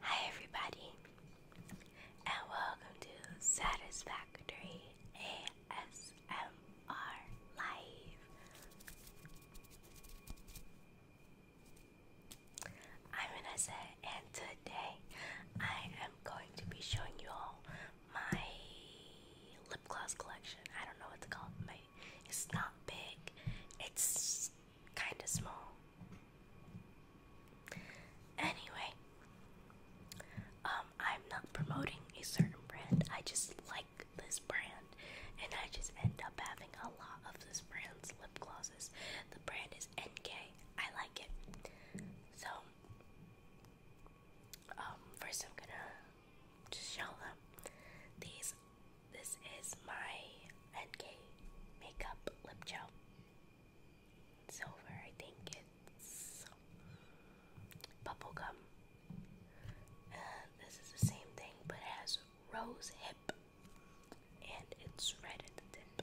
Hi, everybody, and welcome to Satisfactory ASMR Live. I'm Vanessa, and today I am going to be showing you all my lip gloss collection. I don't know what to call my it's not big, it's kind of small. Anyway, um, I'm not promoting a certain brand, I just like this brand, and I just end up having a lot of this brand's lip glosses. The brand is NK, like it. So, um, first I'm gonna show them. These, this is my NK makeup lip gel. Silver, I think it's bubblegum. this is the same thing, but has rose hip, and it's red at the tip.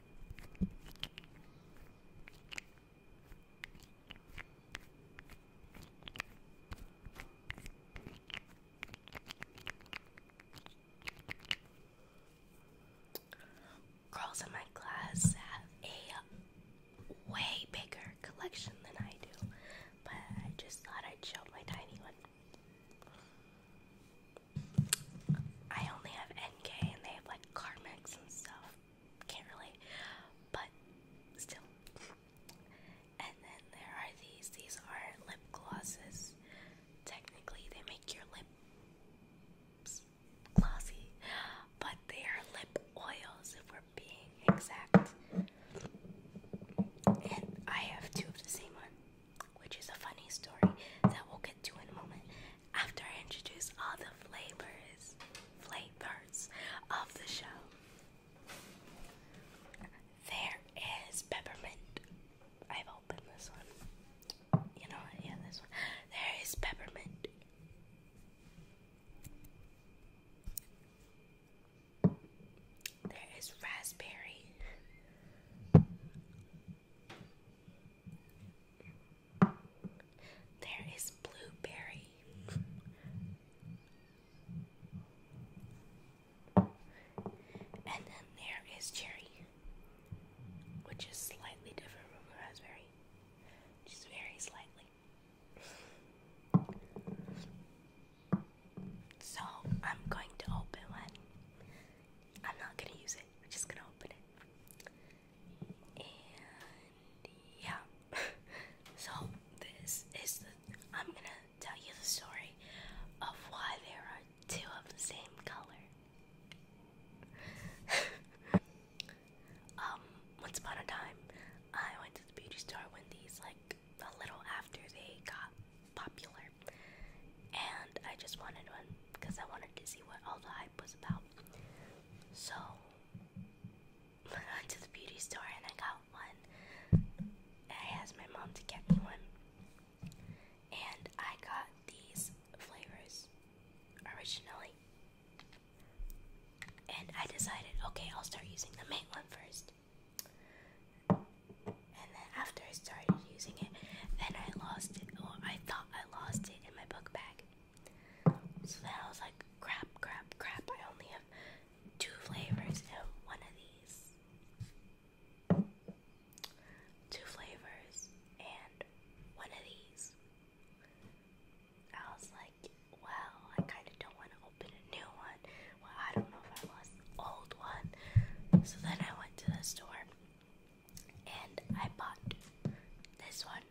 Girls in my class have a way bigger collection than I do, but I just thought I'd show my tiny one. I only have NK and they have like Carmex and stuff. Can't relate, but still. And then there are these. These are lip glosses. Technically, they make your lips glossy, but they are lip oils if we're being exact. And I have two of the same one, which is a funny story that we'll get to in a moment after I introduce all the flavors, flavors of the show. There is peppermint. I've opened this one. You know Yeah, this one. There is peppermint. There is raspberry. There is blueberry. And then there is cherry, which is slightly different from raspberry. Just very slightly. So I'm going to open one. I'm not gonna use it, I'm just gonna open it yeah, so this is the. I'm gonna tell you the story of why there are two of the same color. um, once upon a time, I went to the beauty store when these, like, a little after they got popular, and I just wanted one because I wanted to see what all the hype was about. So I went to the beauty store and I got one. I asked my mom to get me one. And I got these flavors originally. And I decided, okay, I'll start using the main one first. And then after I started using it, then I lost it. Oh, I thought I lost it in my book bag. So then I was like, crap, crap, crap. I only have two flavors and one of these. Two flavors and one of these. I was like, well, I kind of don't want to open a new one. Well, I don't know if I lost the old one. So then I went to the store and I bought this one,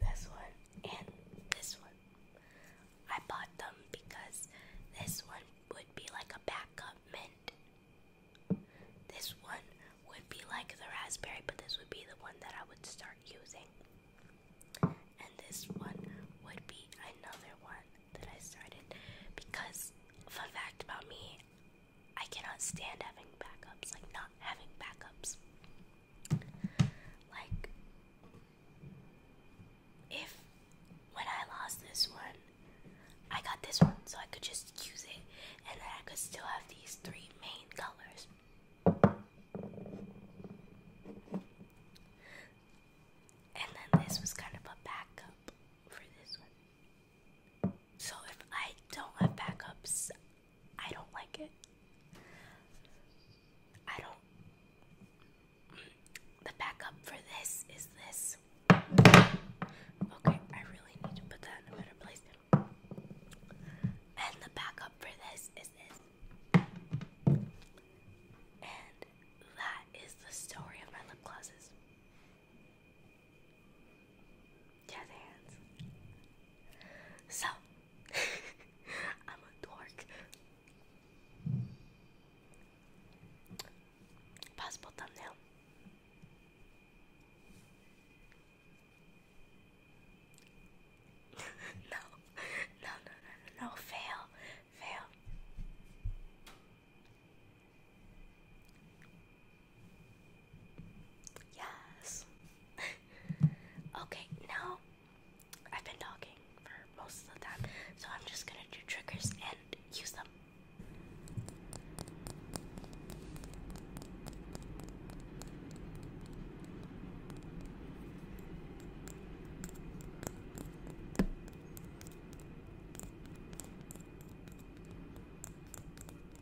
this one, and this one. I bought them because this one would be like a backup mint. This one would be like the raspberry, but this would be the one that I would start using. And this one would be another one that I started because, fun fact about me, I cannot stand having backups, like not having backups. Like, if when I lost this one, I got this one, so I could just use it, and then I could still have these three main colors. And then this was kind of a backup for this one. So if I don't have backups, I don't like it. I don't. The backup for this is this. Okay, I really need to put that in a better place. And the backup for this is this. And that is the story of my lip glosses. Jazz hands. So, I'm a dork. Possible thumbnail. no, no, no, no, no, fail, fail. Yes. okay, now I've been talking for most of the time, so I'm just gonna do triggers and use them.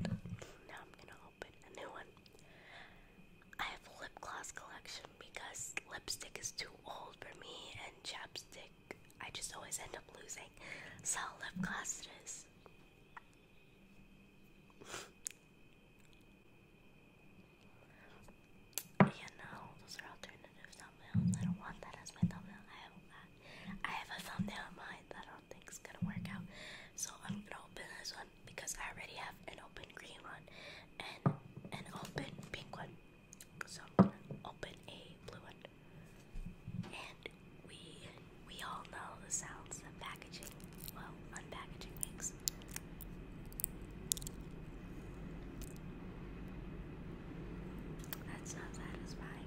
And now I'm gonna open a new one. I have a lip gloss collection because lipstick is too old for me and chapstick I just always end up losing. So lip gloss it is. yeah, those are alternative I don't want that as my thumbnail. I have that. I have a thumbnail in that I don't think is gonna work out. So I'm gonna open this one because I already have an open green one and an open pink one. So I'm gonna open a blue one. And we we all know the sounds of packaging, well, unpackaging makes. That's not satisfying.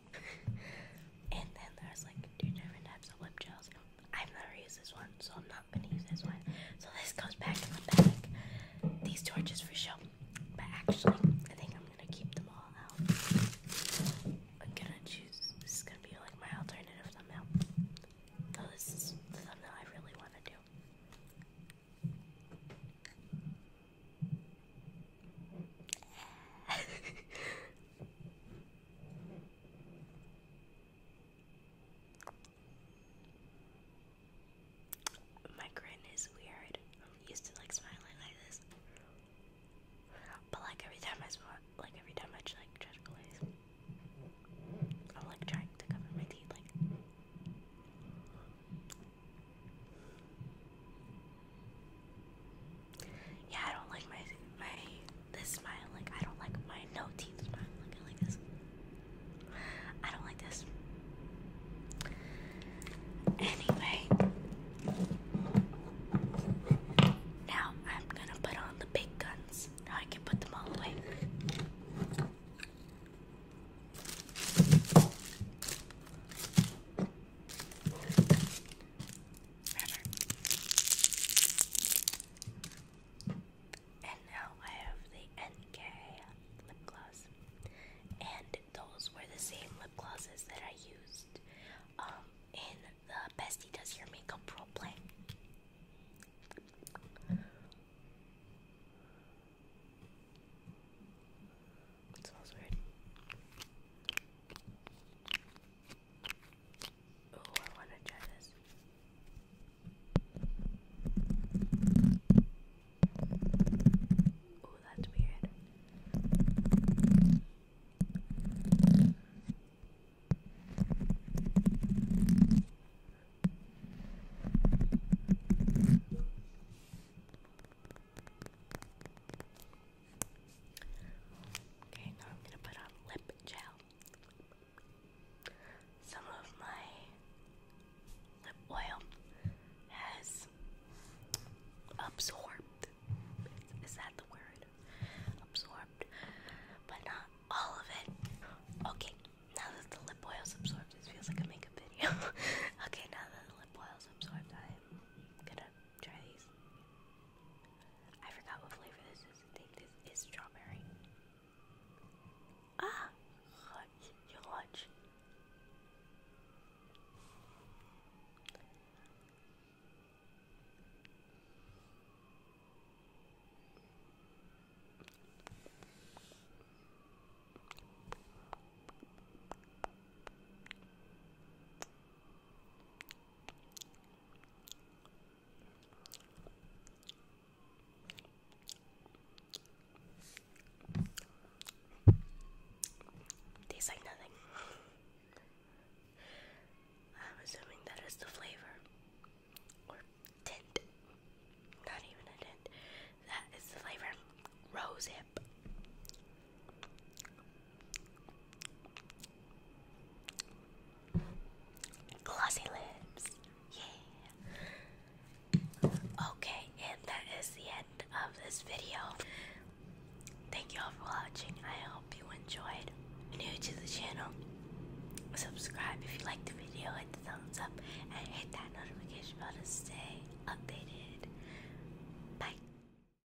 and then there's like two different types of lip gels. I've never used this one, so I'm not gonna use this one. So this goes back in the bag. These torches for show, but actually, I think I'm gonna keep them all out. I'm gonna choose. This is gonna be like my alternative thumbnail. So this is the thumbnail I really want to do. My grin is weird. I'm used to like smiling like this. But like every time I smile, like every time I like gesticulate, I'm like trying to cover my teeth like yeah, I don't like my my this smile. Like I don't like my no teeth smile. Like I like this. I don't like this. Anyway, now I'm gonna put on the big guns. Now I can put them all away. And now I have the NK lip gloss. And those were the same lip glosses that I used um, in the Bestie Does Your Makeup Pro Play. smells weird. Oh, I want to try this. Oh, that's weird. Okay, now I'm gonna put on lip gel. Some of my lip oil has absorbed. Is that the word? Absorbed, but not all of it. Okay, now that the lip oil's absorbed, this feels like a makeup video. okay, now that the lip oil's absorbed, I'm gonna try these. I forgot what flavor this is. I think this is strawberry. Ah! Watch. Tastes like nothing. I'm assuming that is the flavor or tint. Not even a tint. That is the flavor. Rose hip. Glossy lips. Yeah. Okay, and that is the end of this video. Thank you all for watching. I hope you enjoyed. new to the channel, subscribe if you like the video, hit the thumbs up, and hit that notification bell to stay updated. Bye.